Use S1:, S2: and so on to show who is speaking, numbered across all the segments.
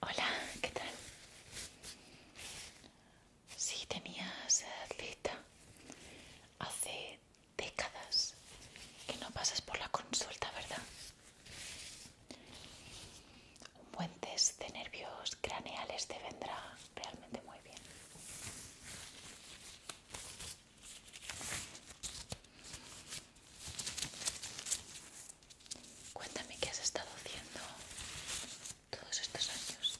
S1: Hola, ¿qué tal? Si tenías cita hace décadas que no pasas por la consulta, ¿verdad? Un buen test de nervios craneales te vendrá realmente muy bien. Cuéntame qué has estado haciendo todos estos años.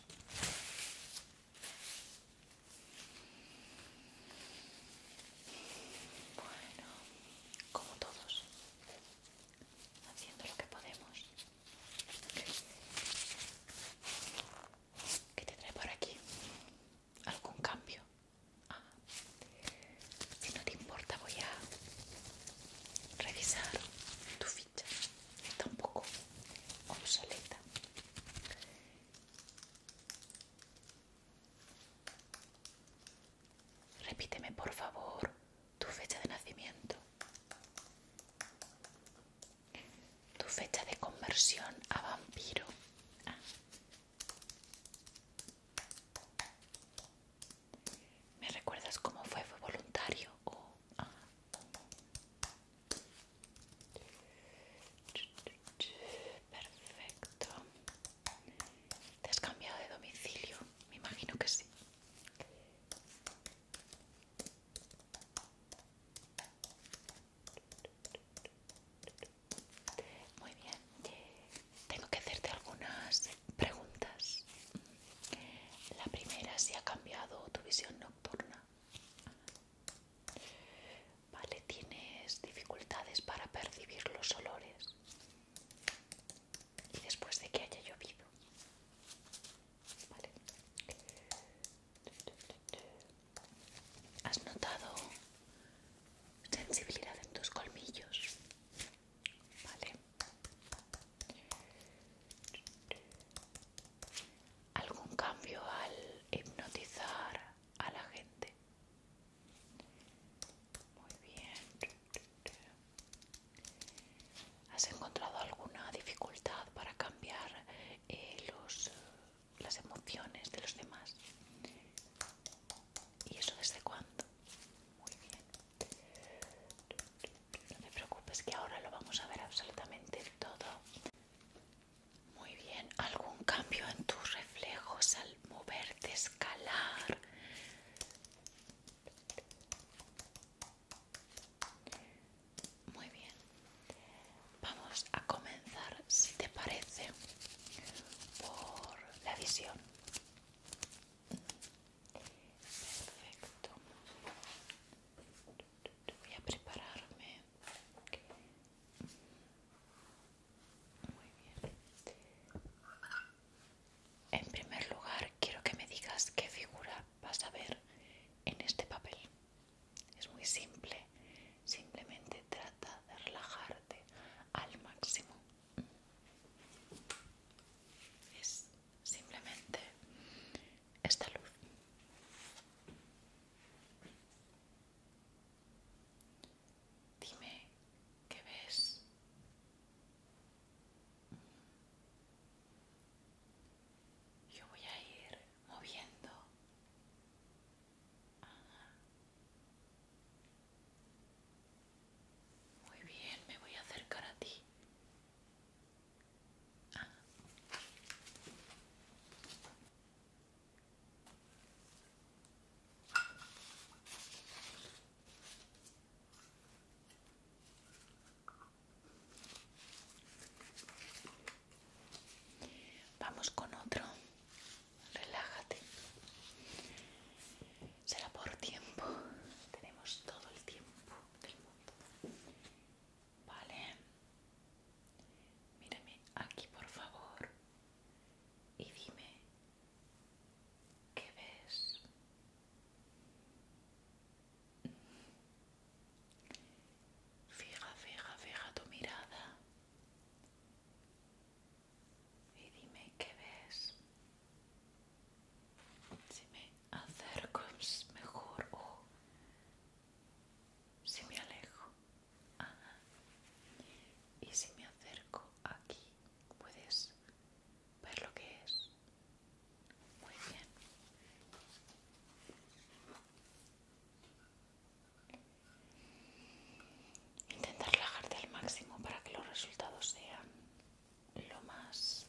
S1: Bueno, como todos, haciendo lo que podemos. ¿Qué te por aquí? ¿Algún cambio? Ah. Si no te importa voy a revisar tu ficha. Está un poco obsoleta. Repíteme por favor tu fecha de nacimiento, tu fecha de conversión a vampiro. Ah. ¿Me recuerdas cómo fue? ¿Fue voluntario o.? Ah? Perfecto. ¿Te has cambiado de domicilio? Me imagino que sí. Muy bien tengo que hacerte algunas preguntas. La primera, si ha cambiado tu visión nocturna. Vale, tienes dificultades para percibir los olores. Y después de que haya llovido. ¿Has notado sensibilidad en tus colmillos? ¿Algún cambio al hipnotizar a la gente? Muy bien. ¿Has encontrado alguna dificultad para cambiar eh, las emociones de los demás? ¿Y eso desde cuándo? Muy bien. No te preocupes que ahora lo vamos a ver absolutamente todo. Muy bien, ¿algún cambio en tus reflejos al moverte, escalar? Muy bien, vamos a comenzar, si te parece, por la visión. Perfecto. Voy a prepararme. Muy bien. En primer lugar, quiero que me digas qué figura vas a ver en este papel. Es muy simple. Simplemente trata de relajarte al máximo es simplemente esta luz dime qué ves yo voy a ir moviendo muy bien, me voy a acercar a ti. Vamos con otro. Relájate será por tiempo. Tenemos todo el tiempo del mundo. Vale. Mírame aquí, por favor. Y dime, ¿qué ves? Fija, fija, fija tu mirada. Y dime, ¿qué ves? si me acerco es mejor o si me alejo y si me acerco aquí puedes ver lo que es muy bien intentar relajarte al máximo para que los resultados sean lo más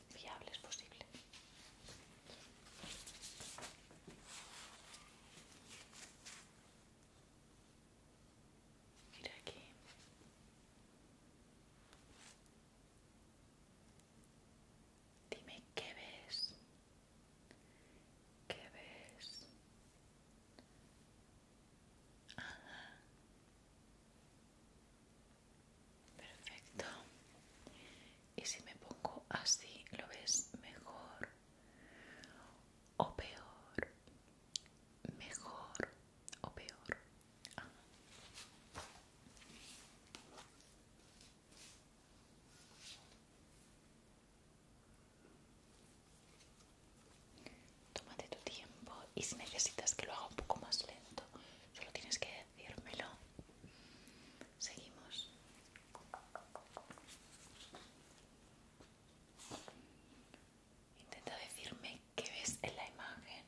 S1: es posible. Mira aquí. Dime qué ves. ¿Qué ves? Perfecto. Y si me pongo así, ¿lo ves mejor o peor? Mejor o peor. Ah. tomate tu tiempo y si necesitas que lo haga un poco más lento, Solo tienes que decírmelo. Seguimos. Intenta decirme qué ves en la imagen.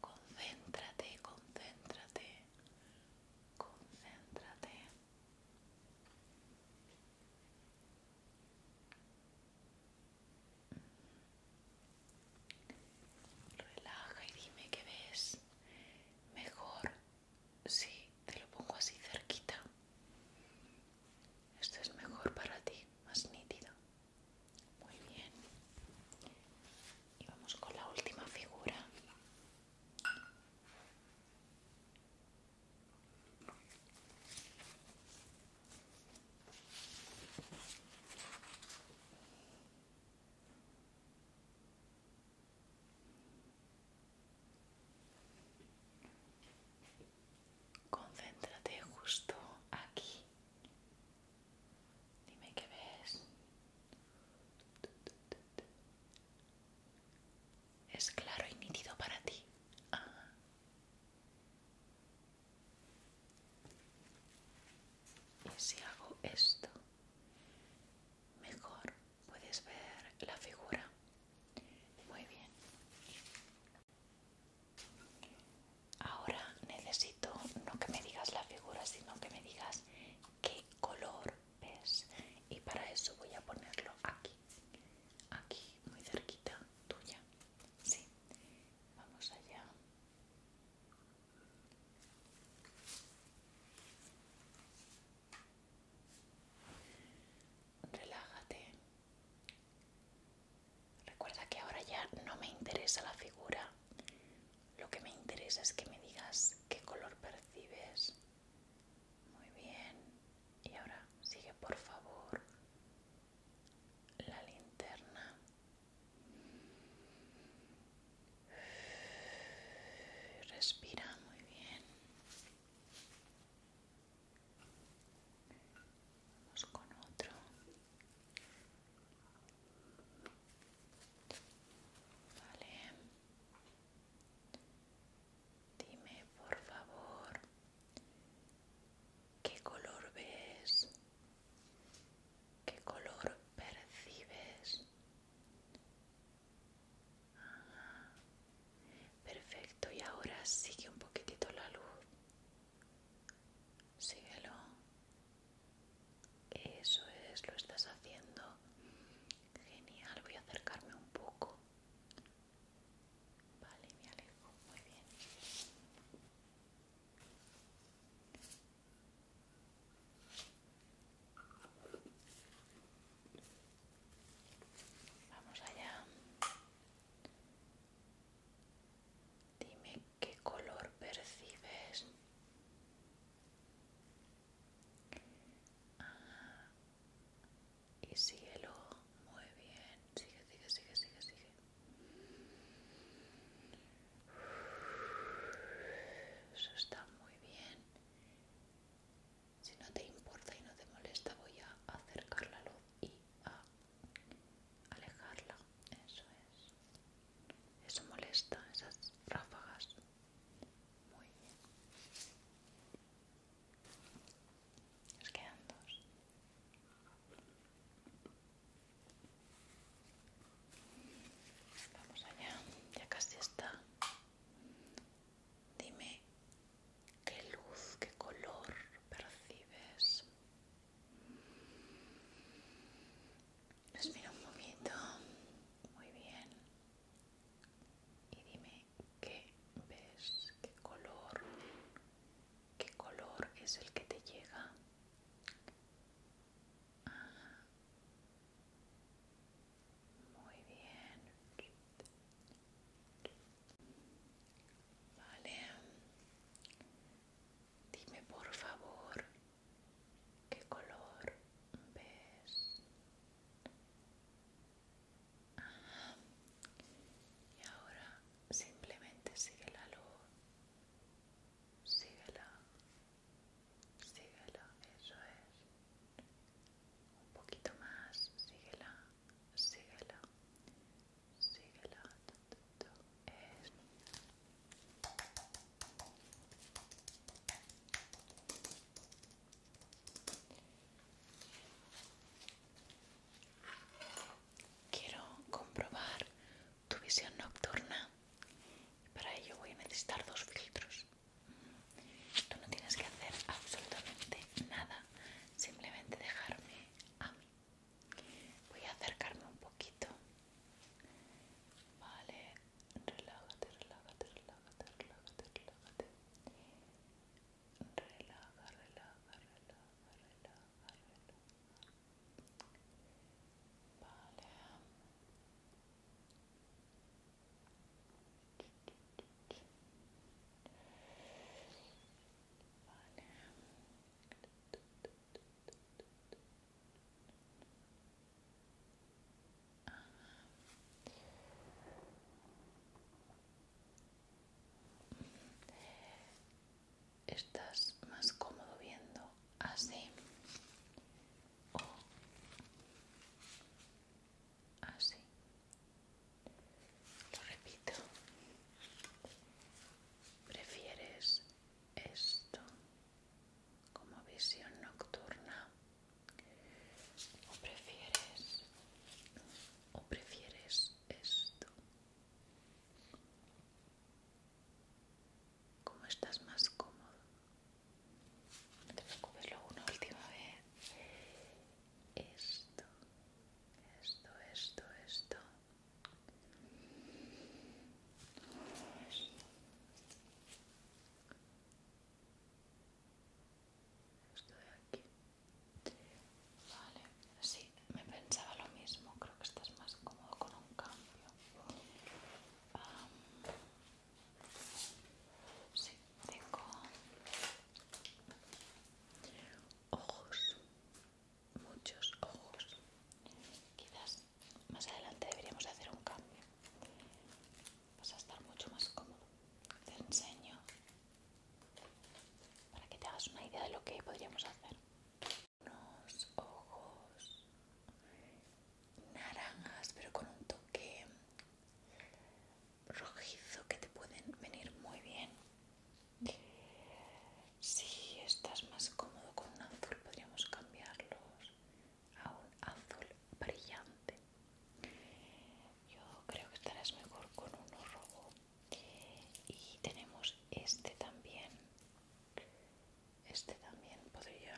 S1: Concéntrate, concéntrate, concéntrate. Relaja y dime qué ves. Mejor si te lo pongo así cerquita. Esto es mejor para ti, más nítido. Muy bien. Y vamos con la última figura. Concéntrate justo aquí Dime que ves. Es claro y nítido para ti. Ah. Y si hago esto, mejor puedes ver la figura. Muy bien. Ahora necesito no que me digas la figura, sino que me digas qué color ves y para eso voy a ponerlo aquí aquí muy cerquita tuya sí vamos allá relájate recuerda que ahora ya no me interesa la figura lo que me interesa es que me digas qué color percibes. Muy bien. Y ahora sigue por favor la linterna. Respira muy bien. Vamos con otro. Dime, por favor, ¿qué color ves? ¿Qué color percibes? Perfecto, y ahora sigue un poquitito la luz. Síguelo. Eso es, lo estás haciendo. Genial, voy a acercarme un poco. Vale, me alejo, muy bien. Vamos allá. Dime qué color percibes. Y síguelo muy bien. Sigue, sigue, sigue, sigue, sigue. Eso está muy bien. Si no te importa y no te molesta, voy a acercar la luz y a alejarla. Eso es. Eso molesta, esas ráfagas. Muy bien. Nos quedan dos. Vamos allá, ya casi está. Dime qué luz, qué color percibes. Respira un poquito, muy bien. Y dime qué ves, qué color, qué color es el que te llega. Muy bien. Vale. Dime por favor ¿Qué color ves? Y ahora simplemente sigue la luz. Síguela. Síguela, eso es. Un poquito más, síguela, síguela, síguela. es Quiero comprobar tu visión nocturna. Para ello voy a necesitar dos filtros. Tú no tienes que hacer absolutamente nada, simplemente dejarme a mí. Voy a acercarme un poquito. Vale, relájate, relájate, relájate, relájate, relájate. Relaja, relaja, relaja, relaja, Vale. Vale. Estás más cómodo viendo así o así. Lo repito. ¿Prefieres esto? como visión nocturna o prefieres o prefieres esto como estás más cómodo no te preocupes una última vez esto esto esto esto esto aquí. Vale, sí, me pensaba lo mismo. Creo que estás más cómodo con un cambio. sí, tengo ojos, muchos ojos. Quizás más adelante deberíamos hacer un cambio vas a estar mucho más cómodo te enseño para que te hagas una idea de lo que podríamos hacer unos ojos naranjas pero con un toque rojizo que te pueden venir muy bien si estás más cómodo con un azul podríamos cambiarlos un azul brillante. Yo creo que estarás mejor con uno rojo. Y tenemos este también. Este también podría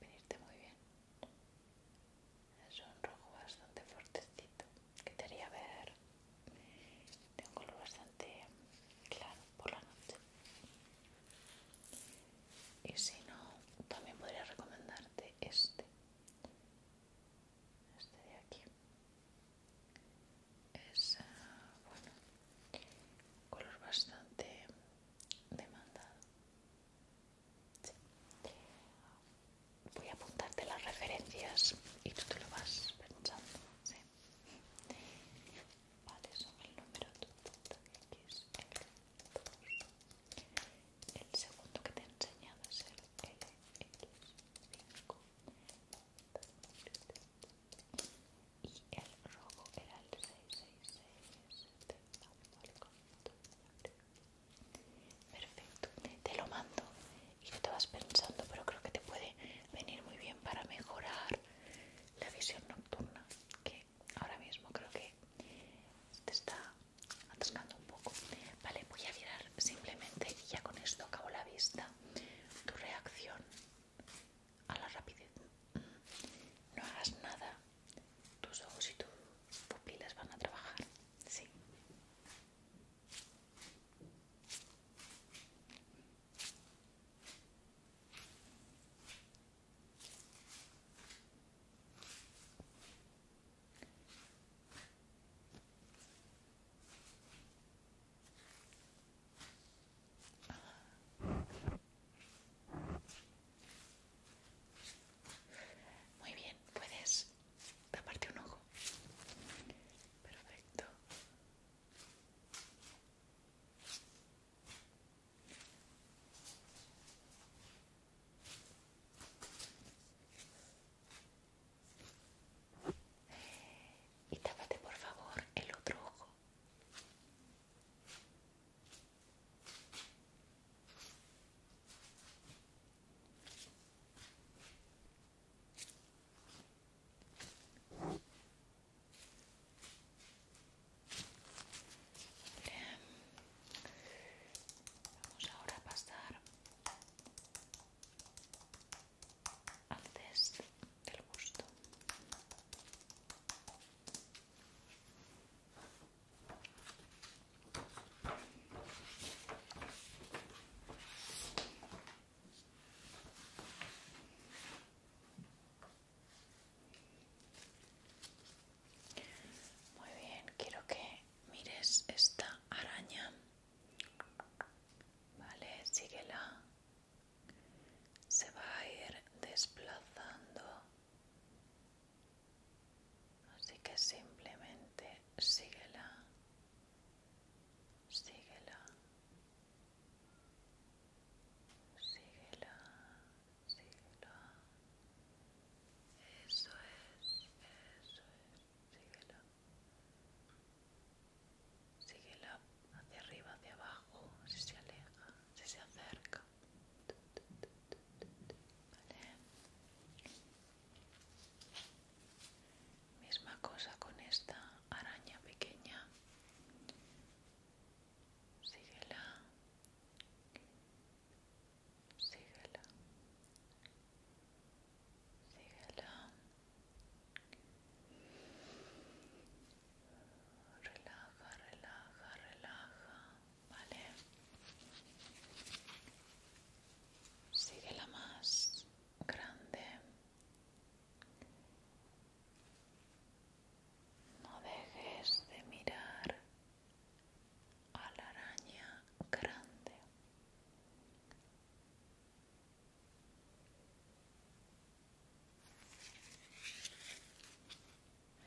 S1: venirte muy bien. Es un rojo bastante fuertecito. Que te haría ver de un color bastante claro por la noche y si no también podría recomendarte este este de aquí es ah, bueno color bastante demandado voy a apuntarte las referencias y tú te lo vas pensando vale son el número el segundo que te he enseñado es el LX5 y el rojo era el 666 Perfecto, te lo mando y tú te vas pensando, pero creo que te puede venir muy bien para mejorar la visión nocturna, ahora mismo creo que te está atascando un poco. Vale, voy a mirar simplemente, y ya con esto acabo la vista, tu reacción a la rapidez. No hagas nada, tus ojos y tus pupilas van a trabajar, sí. Muy bien, puedes taparte un ojo. Perfecto. Y por favor el otro ojo. Vamos ahora a pasar al test del gusto. Muy bien, quiero que mires esta araña. Vale, síguela. Se va a ir desplazando. Así que simplemente síguela. Síguela. Síguela síguela eso es, eso es, Síguela. Síguela. hacia arriba, hacia abajo, si se aleja, si se acerca ¿Vale? misma cosa con esta araña pequeña síguela síguela, síguela, relaja, relaja, relaja, vale, síguela más grande. No dejes de mirar a la araña grande.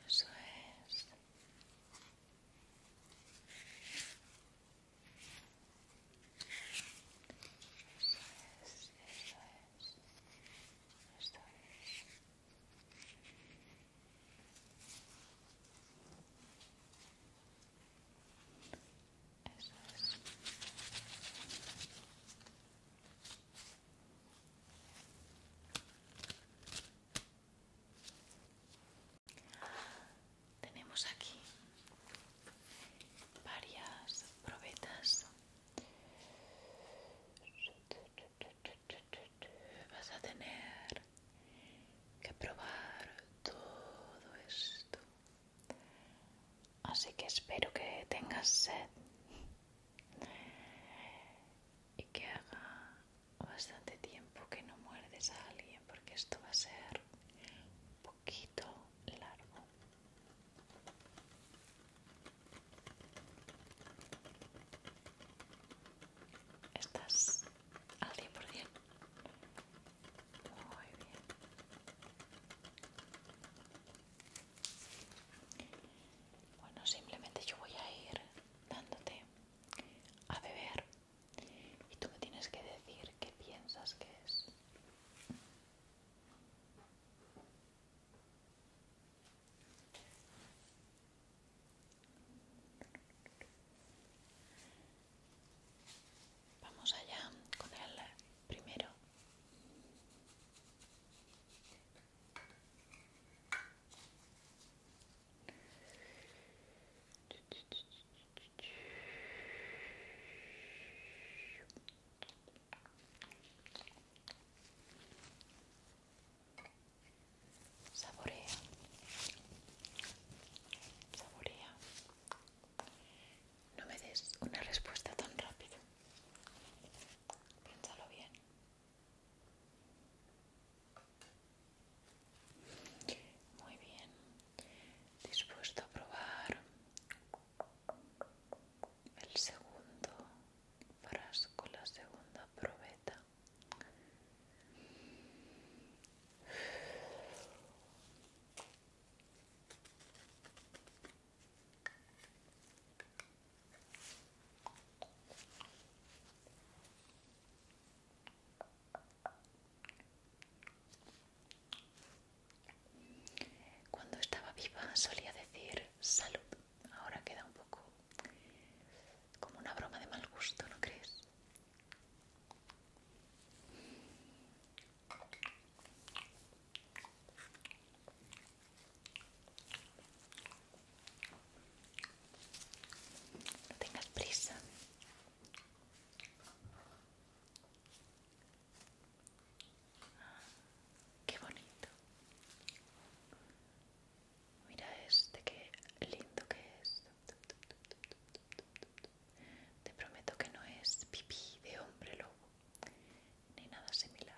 S1: Eso es. Eso es, eso es, es. Tenemos aquí varias probetas vas a tener que probar todo esto. Así que espero que tengas sed y que haga bastante tiempo que no muerdes a alguien porque esto va a ser un poquito largo. ¿Estás al cien Muy bien. Bueno, simplemente yo voy a ir dándote a beber y tú me tienes que decir qué piensas que es. Vamos allá con el primero. Saborea, saborea. No me des una respuesta tan rápida? Piénsalo bien. Muy bien. Dispuesto a probar el segundo frasco, la segunda probeta. Cuando estaba viva solía decir salud ahora queda un poco como una broma de mal gusto, ¿no crees? No tengas prisa. Ah, qué bonito. Mira este, qué lindo que es. Te prometo que no es pipí de hombre lobo, ni nada similar.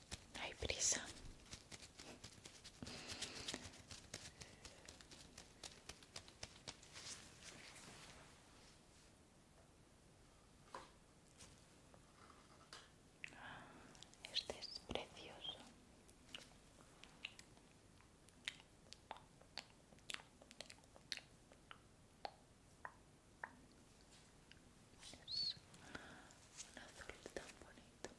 S1: hay prisa. Este es precioso. Es un azul tan bonito.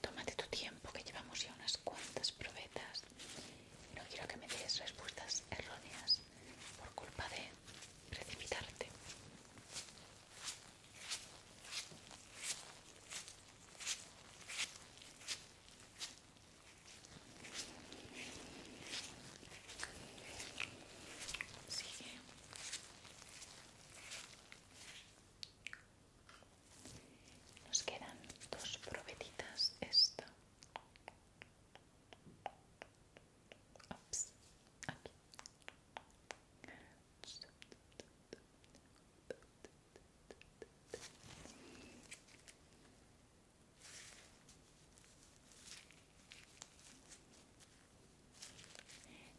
S1: Tómate tu tiempo que llevamos ya unas cuantas probetas. No quiero que me des respuestas erróneas por culpa de precipitarte que Nos quedan dos probetitas. Esta.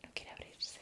S1: No quiere abrirse.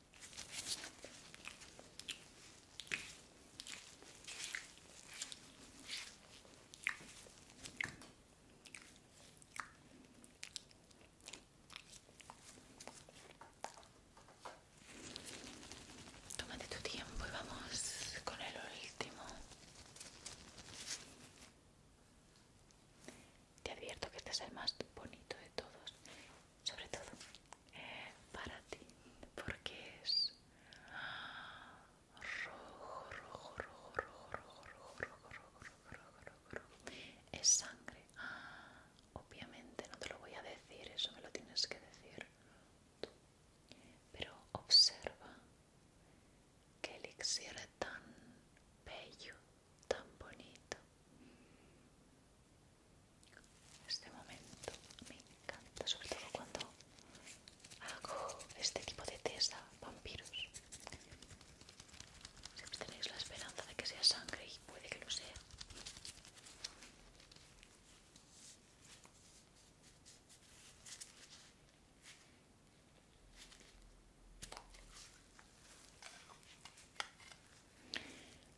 S1: Tómate tu tiempo y vamos con el último. Te advierto que este es el más bonito de todos sobre todo para ti, porque es rojo, rojo, rojo, rojo, rojo, rojo, rojo, rojo, rojo, rojo, rojo. Es sangre. Obviamente no te lo voy a decir, eso me lo tienes que decir tú. Pero observa que elixir tan bello, tan bonito. Este momento me encanta, sobre todo cuando hago este tipo de test vampiros. Siempre tenéis la esperanza de que sea sangre y puede que lo sea.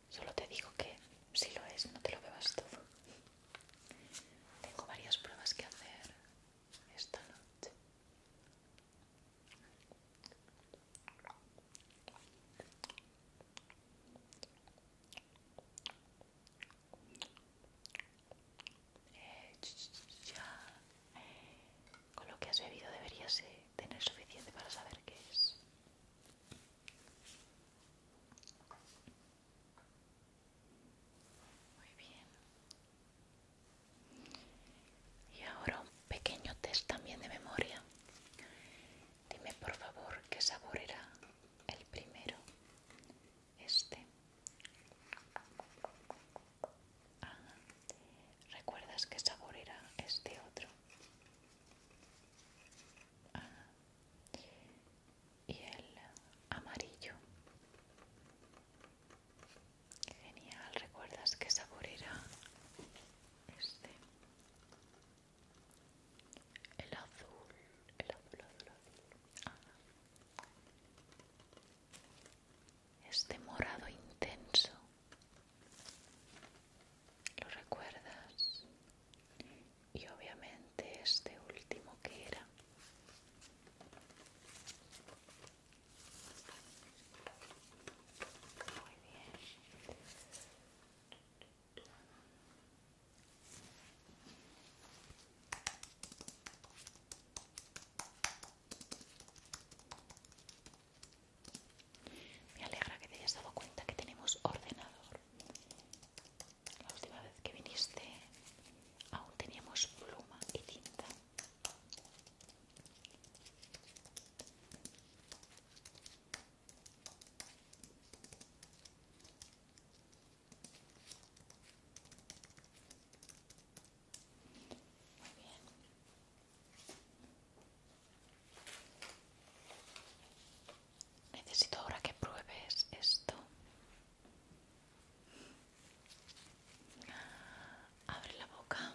S1: Solo te digo que si lo es, no te lo bebas todo. Tengo varias pruebas que hacer esta noche. Eh, ya. Con lo que has bebido deberías eh, tener suficiente para saber qué es. Muy bien. Y ahora un pequeño test también de memoria. Dime por favor qué sabor era el primero. Este. ¿Recuerdas qué sabor era este otro? y el amarillo. Genial, ¿recuerdas qué sabor era este? El azul, el azul, azul, ah. Este morado intenso lo recuerdas y obviamente este último que era me alegra que te hayas dado cuenta que tenemos ordenador la última vez que viniste aún teníamos pluma y tinta. Muy bien. Necesito ahora que pruebes esto. Abre la boca.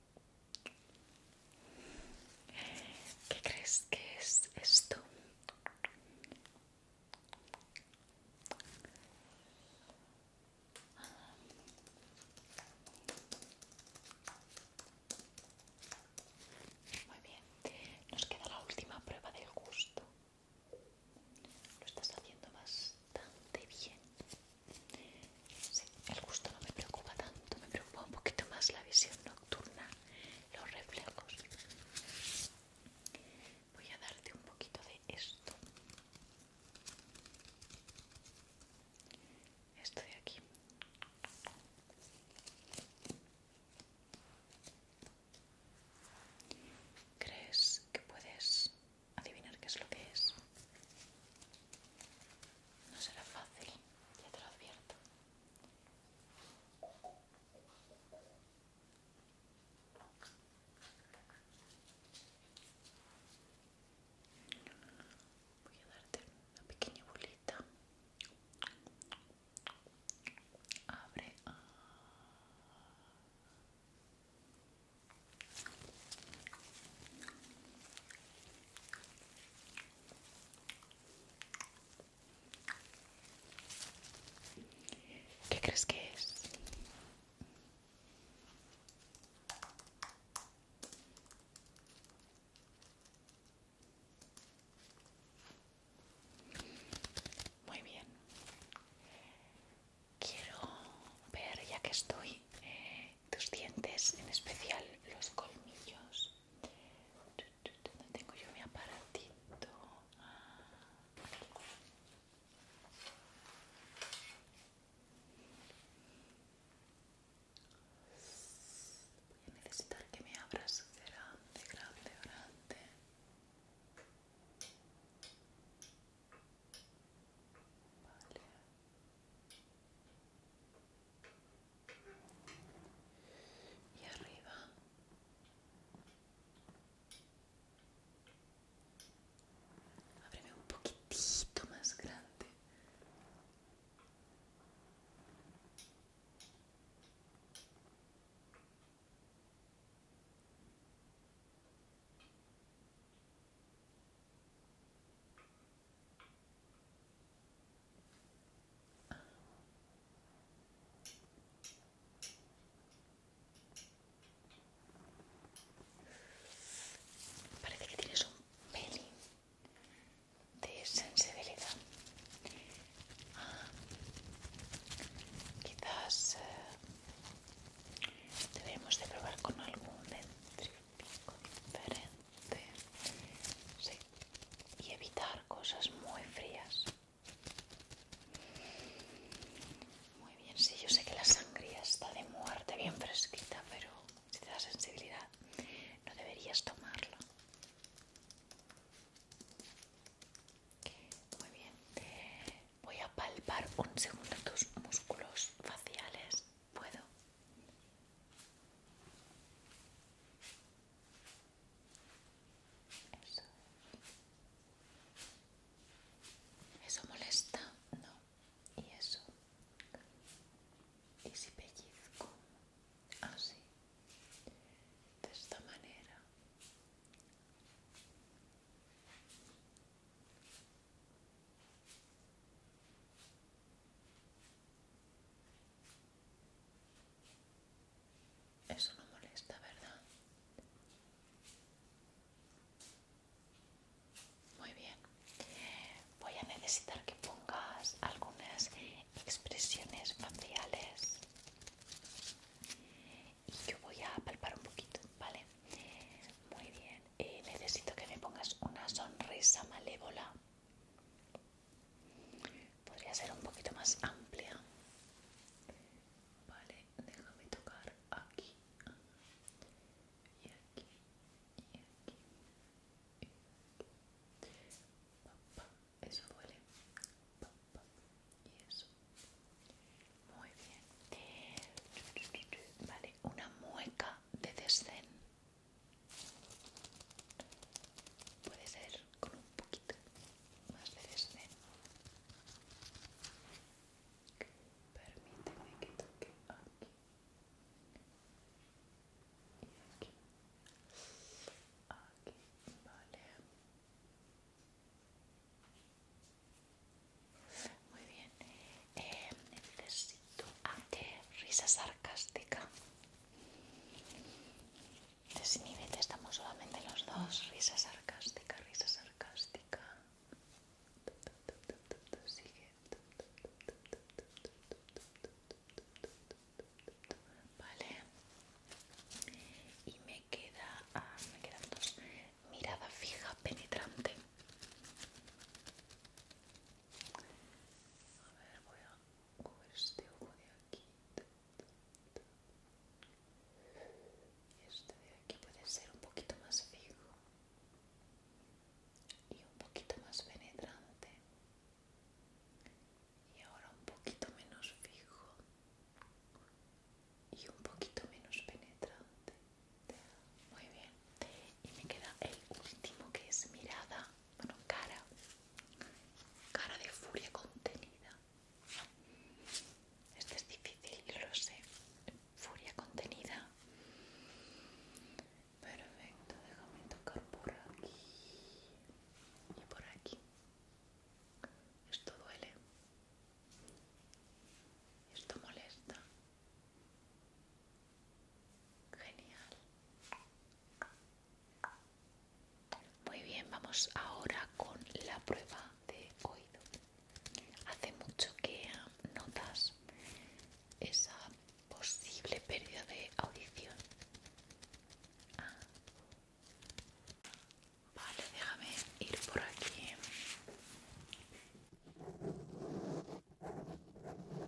S1: ¿Qué crees que es esto? Muy bien, nos queda la última prueba del gusto. Lo estás haciendo bastante bien. Sí, el gusto no me preocupa tanto, me preocupa un poquito más la visión nocturna, los reflejos. Voy a darte un poquito de esto. Esto de aquí. ¿Crees que puedes adivinar qué es lo que es? No será fácil, ya te lo advierto. Voy a darte una pequeña bolita. Abre. ¿Qué crees que es? Muy bien. Quiero ver, ya que estoy, eh, tus dientes, en especial los colmillos. No tengo yo mi aparatito? Voy a necesitar que me abras grande, grande, grande. Vale y arriba abreme un poquitito más grande Parece que tienes un pelín de sensibilidad. Ah, quizás eh, debemos de probar con algún dentífrico diferente sí. y evitar cosas muy frías muy bien, sí, yo sé que la sangría está de muerte bien fresquita pero si te da sensibilidad no deberías tomarla muy bien voy a palpar un segundo tus músculos faciales puedo. Eso. molesta? No. ¿Y eso? ¿Y si pellizco? Así. Ah, De esta manera. Eso no molesta, ¿verdad? Muy bien. Voy a necesitar que pongas algunas expresiones faciales. Y yo voy a palpar un poquito, ¿vale? Muy bien. Eh, necesito que me pongas una sonrisa malévola. Podría ser un poquito más amplia. Vale, déjame tocar aquí y aquí y aquí. Y aquí. eso duele. y eso. Muy bien. Vale, una mueca de desdén. Puede ser con un poquito más de este. Permíteme que toque aquí y aquí. Aquí, vale. Muy bien. Eh, Qué risa sarcástica. te estamos solamente los dos. Risa sarcástica, risa sarcástica. Sigue. Vale. Y me queda. Ah, me quedan dos. Mirada fija, penetrante. A ver, voy a este ojo de aquí este de aquí puede ser un poquito más fijo y un poquito más penetrante y ahora un poquito menos fijo y un poquito menos penetrante muy bien y me queda el último que es mirada bueno, cara cara de furia contenida este es difícil, lo sé furia contenida perfecto, déjame tocar por aquí y por aquí esto duele esto molesta Genial. Muy bien, vamos ahora con la prueba de oído. Hace mucho que notas esa posible pérdida de audición. Ah. Vale, déjame ir por aquí.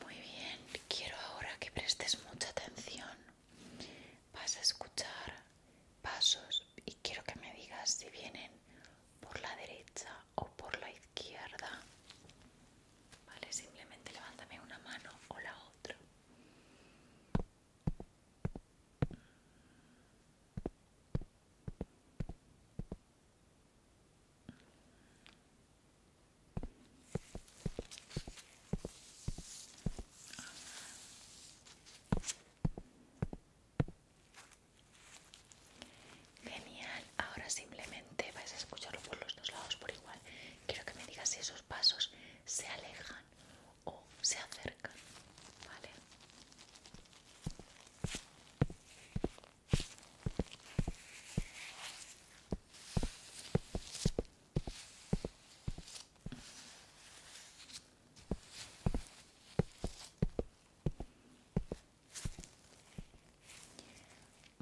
S1: Muy bien, quiero ahora que prestes mucha atención. Vas a escuchar pasos y quiero que me digas si vienen por la derecha o por la izquierda. Vale, simplemente levántame una mano o la otra. Genial, ahora simplemente vais a escucharlo por los dos lados por igual. Quiero que me digas si esos pasos se alejan o se acercan, ¿vale?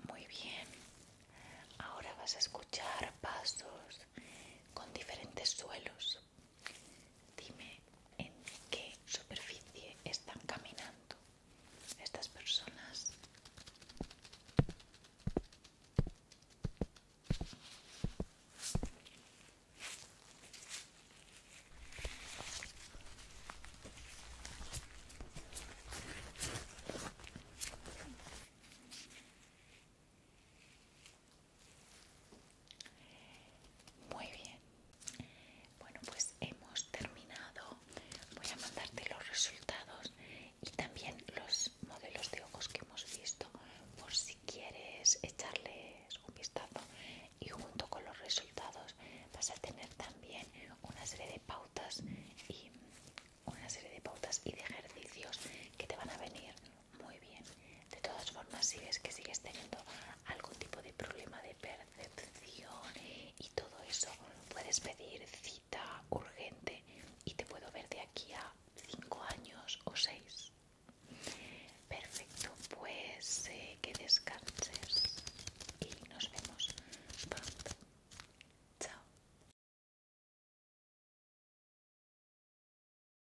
S1: Muy bien, ahora vas a escuchar pasos con diferentes suelos. Dime en qué superficie están caminando estas personas. Muy bien. Bueno, pues hemos terminado. Voy a mandarte los resultados y también los modelos de ojos que hemos visto por si quieres echarles un vistazo. Y junto con los resultados vas a tener también una serie de pautas y una serie de pautas y de ejercicios que te van a venir muy bien. De todas formas, si ves que sigues teniendo algún tipo de problema de percepción y todo eso, puedes pedir cita urgente y te puedo ver de aquí a cinco años o seis. Perfecto, pues eh, que descanses y nos vemos pronto. Chao.